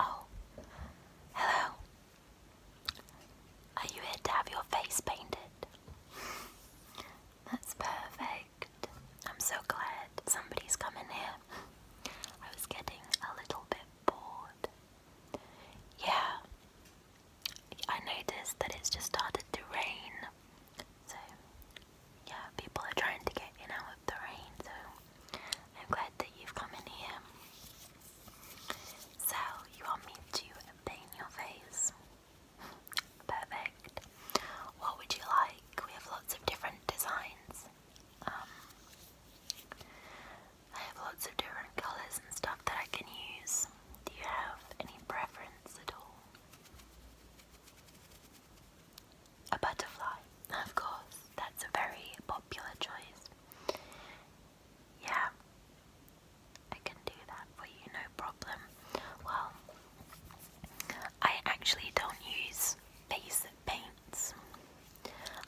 Oh, hello. Are you here to have your face painted? That's perfect. I'm so glad somebody's come in here. I was getting a little bit bored. Yeah, I noticed that it's just started to rain. So yeah, people are trying to get in out of the rain, so I'm glad that you've come in here. So, you want me to paint your face? Perfect. What would you like? We have lots of different designs. Um, I have lots of different colours and stuff that I can use. Do you have any preference at all? A butterfly, of course, that's a very popular choice. Yeah, I can do that for you, no problem. Well, I actually don't use basic paints,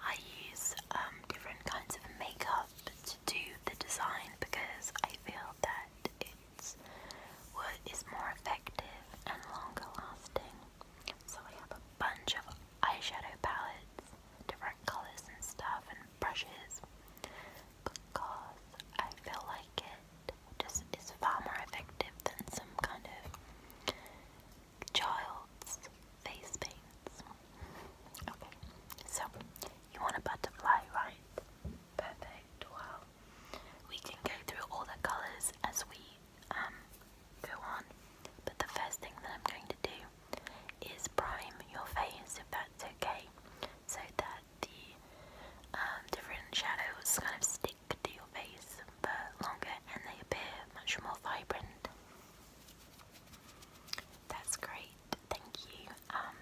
I use um, different kinds of makeup to do the design because I feel that it's what is more effective and longer lasting. So we have a bunch of eyeshadow palettes, different colors and stuff, and brushes because I feel like it just is far more effective than some kind of child's face paints. Okay, so you want a butterfly, right? Perfect. Well, we can go through all the colours as we um, go on, but the first thing that I'm going to do is prime your face if that's okay, so that the um, different shadows kind of stick to your face for longer and they appear much more vibrant. That's great, thank you. Um,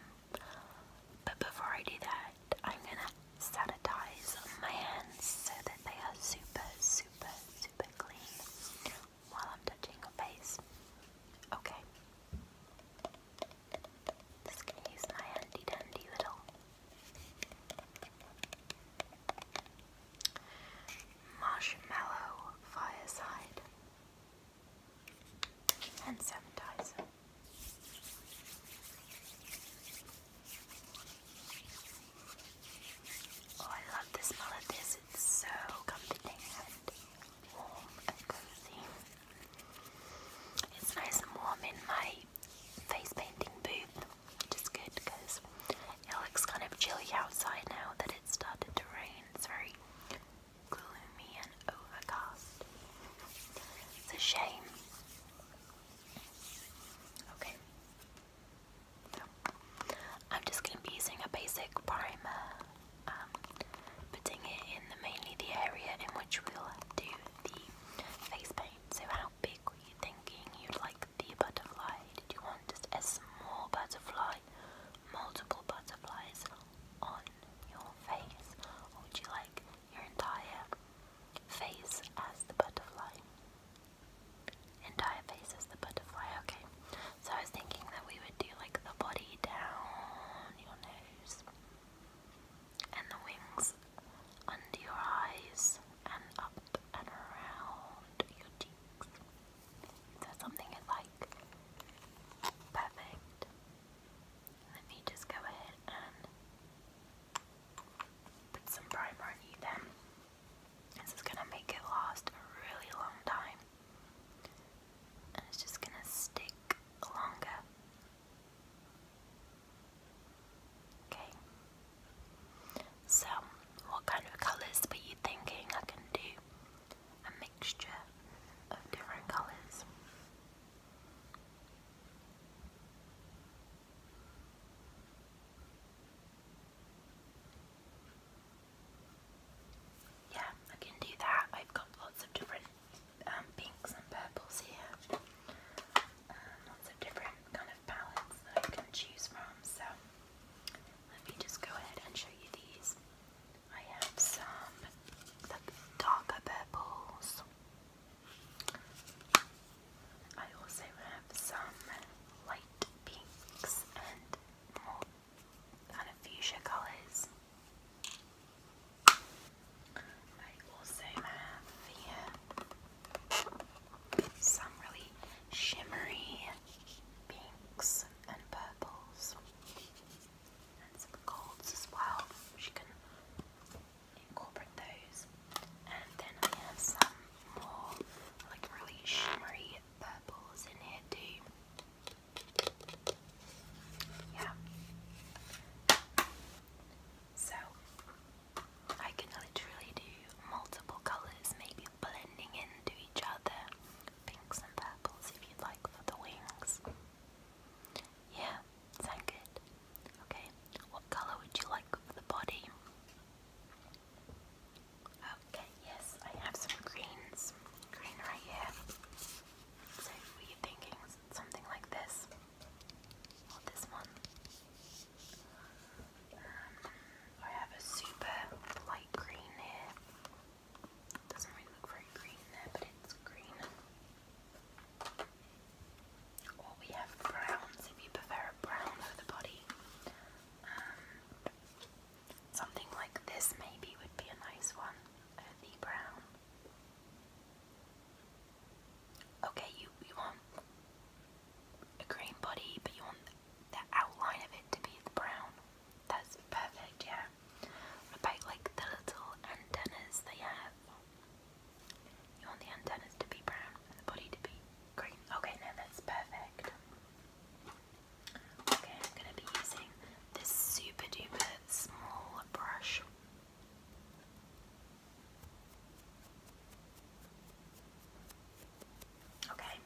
but before I do that, I'm gonna sanitize my hands so that they are super, super, super clean while I'm touching my face. Okay. Just gonna use my handy dandy little marshmallow fireside hand sanitizer. Oh, I love the smell of this. It's so comforting and warm and cozy. It's nice and warm in my face painting booth, which is good because it looks kind of chilly outside now that it started to rain. It's very gloomy and overcast. It's a shame. Okay. I'm just going to be using a basic primer, um, putting it in the, mainly the area in which we'll do the face paint. So how big were you thinking you'd like the butterfly? Did you want just a small butterfly, multiple butterflies on your face? Or would you like your entire face as the butterfly. Entire face as the butterfly, okay. So I was thinking that we would do like the body down your nose and the wings under your eyes and up and around your cheeks. So something is like perfect. Let me just go ahead and Put some primer on you This is gonna make it last a really long time. And it's just gonna stick longer. Okay. So, what kind of colours are you thinking I can do? A mixture of different colours. Yeah, I can do that. I've got lots of different um, pinks and purples here. Um, lots of different kind of palettes that I can choose from. So let me just go ahead and show you these. I have some darker purples. I also have some light pinks and more kind of fuchsia colours. I also have some really shimmery pinks and purples and some golds as well, incorporate those. And then I have some more like really shimmery purples in here too. Yeah. So I can literally do multiple colours, maybe blending into each other. Pinks and purples if you like for the wings. Yeah, sound good. Okay, what colour would you like for the body? Okay, yes, I have some greens. Green right here. So, were you thinking something like this? this one? Um, I have a super light green here. Doesn't really look very green there, but it's green we have browns if you prefer a brown for the body. Um, something like this maybe would be a nice one. Earthy brown. Okay, you, you want a green body, but you want the outline of it to be the brown. That's perfect, yeah about like the little antennas they have? You want the antennas to be brown and the body to be green. Okay, now that's perfect. Okay, I'm gonna be using this super duper small brush. Okay,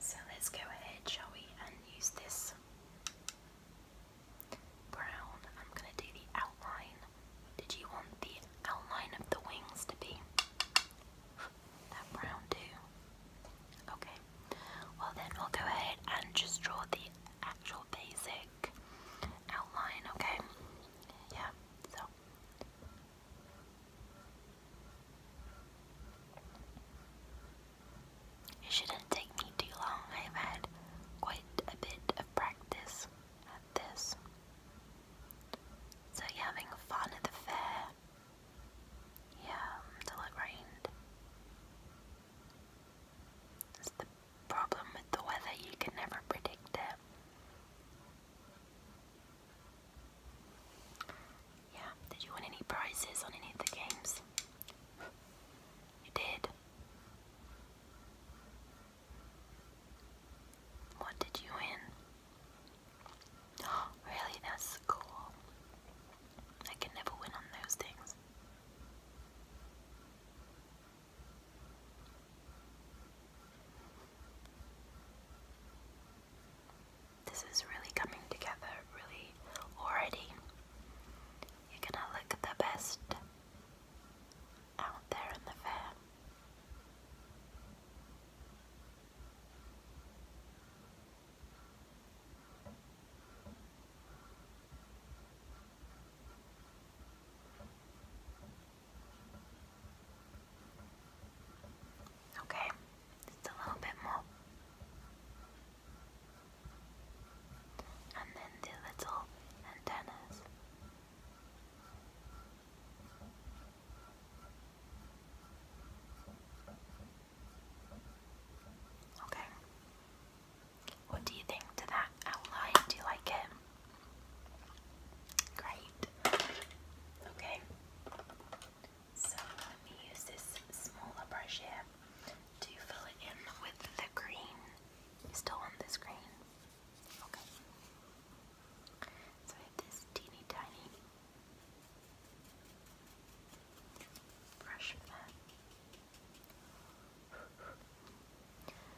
so let's go ahead, shall we, and use this Brown. I'm gonna do the outline. Did you want the outline of the wings to be that brown too? Okay. Well then we'll go ahead and just draw the actual basic outline, okay? Yeah, so it shouldn't take me too long. I've had quite a bit of practice at this. So you're having fun at the fair? Yeah, until it rained. That's the problem with the weather, you can never predict it. Yeah, did you win any prizes on any of the games? You did. What did you win? really? That's cool. I can never win on those things this is really coming together, really already. You're gonna look the best out there in the fair. Okay, just a little bit more. And then the little antennas. Okay. What do you think to that outline? Do you like it? Great. Okay. So let me use this smaller brush here to fill it in with the green. still want this green? Okay. So I have this teeny tiny brush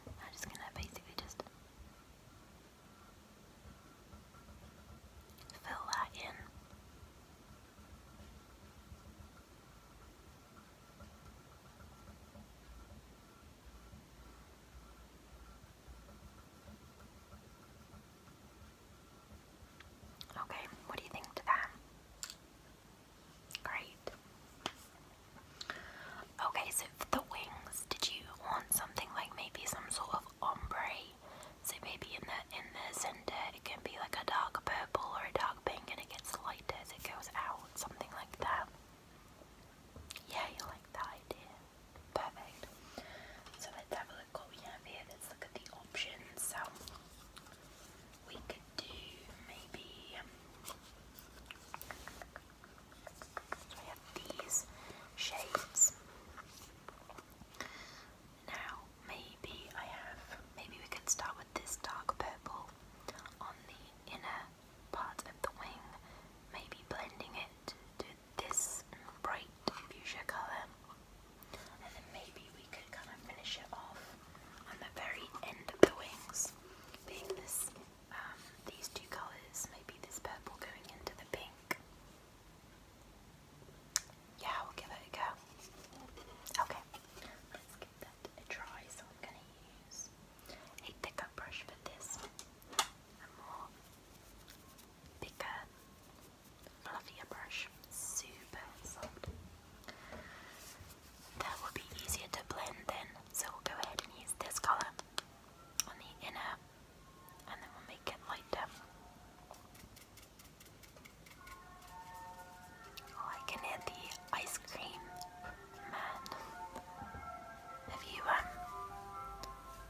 I'm just gonna basically just fill that in. Okay, what do you think to that? Great. Okay, so for the wings, did you want something like maybe some sort of ombre. So maybe in the in the center it can be like a dark purple or a dark pink and it gets lighter as it goes out, something like that. Yeah, you like that idea. Perfect. So let's have a look what we have here. Let's look at the options. So we could do maybe these shades. Now, maybe I have, maybe we can start with this dark purple on the inner part of the wing, maybe blending it to this bright fuchsia colour. And then maybe we could kind of finish it off on the very end of the wings, being this, um, these two colours, maybe this purple going into the pink. Yeah, we'll give it a go. Okay, let's give that a try. So I'm going to use a thicker brush for this, a more bigger, fluffier brush, super soft. That will be easier to blend then, so we'll go ahead and use this colour on the inner and then we'll make it lighter. Oh, I can hear the ice cream man. Have you um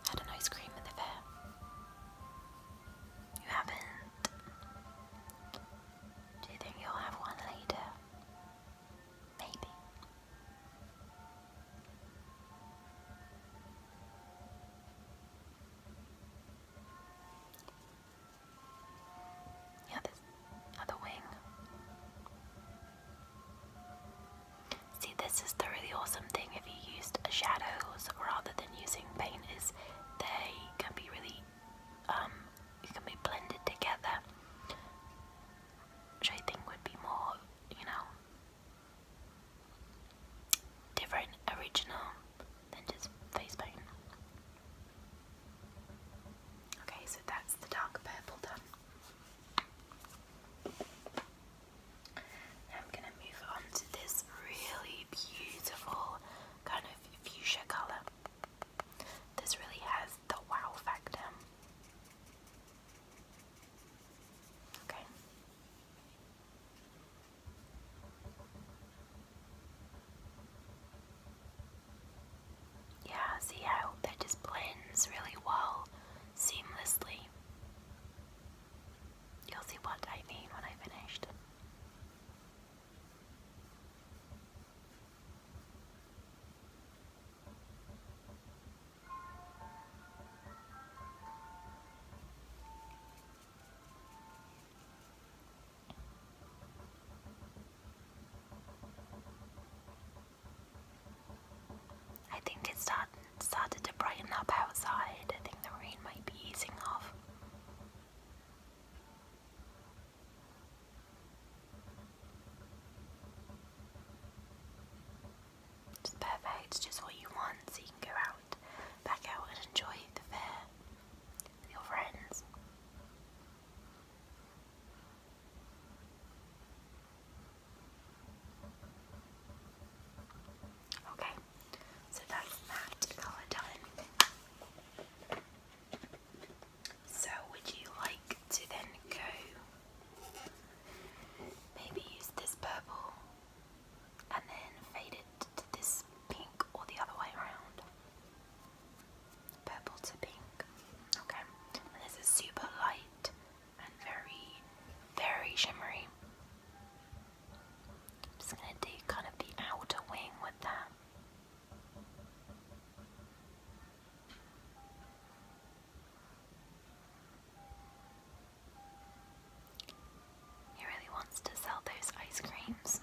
had an ice cream at the fair? You haven't? Do you think you'll have one later? Maybe. Yeah, this other uh, wing. See, this is the really awesome thing if you used shadows rather than using painters, they can be really, um, can be blended together, which I think would be more, you know, different, original than just face paint. Okay, so that's the dark purple done. Now I'm going to move on to this really beautiful kind of fuchsia colour. This really has the wow factor. Okay. Yeah, see how that just blends really well, seamlessly. You'll see what I mean when I finished. I think it's start, started to brighten up outside. I think the rain might be easing off. It's perfect, it's just what you want, so you can go out, back out and enjoy the fair with your friends. Okay, so that's that colour done. So would you like to then go Maybe use this purple and then fade it to this pink or the other way around. Purple to pink. Okay. And this is super light and very, very shimmery. just gonna do kind of the outer wing with that. He really wants to sell those ice creams.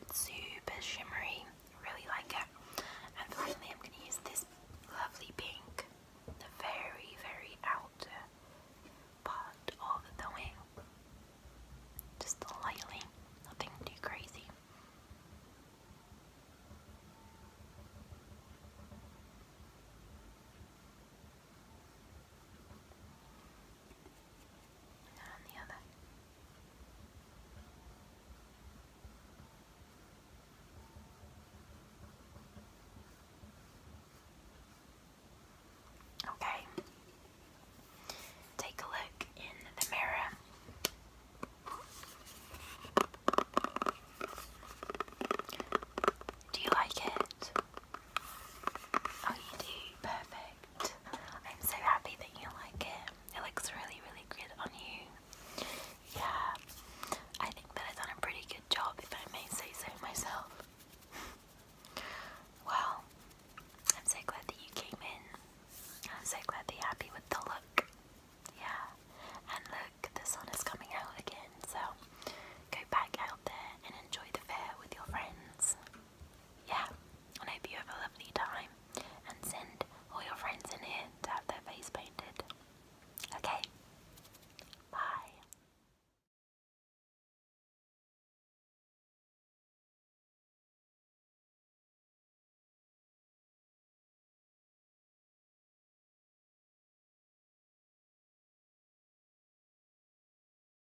It's super shimmery, really like it. And finally I'm gonna use this lovely pink, the very, very outer part of the wing. Just lightly, nothing too crazy. Okay, take a look in the mirror. Do you like it? Oh, you do. Perfect. I'm so happy that you like it. It looks really, really good on you. Yeah, I think that I've done a pretty good job, if I may say so myself. well, I'm so glad that you came in. I'm so glad that you're happy with the look. Yeah, and look, the sun is coming out again, so go back out there and enjoy the fair with your friends yeah, and I hope you have a lovely time and send all your friends in here to have their face painted. Okay, bye.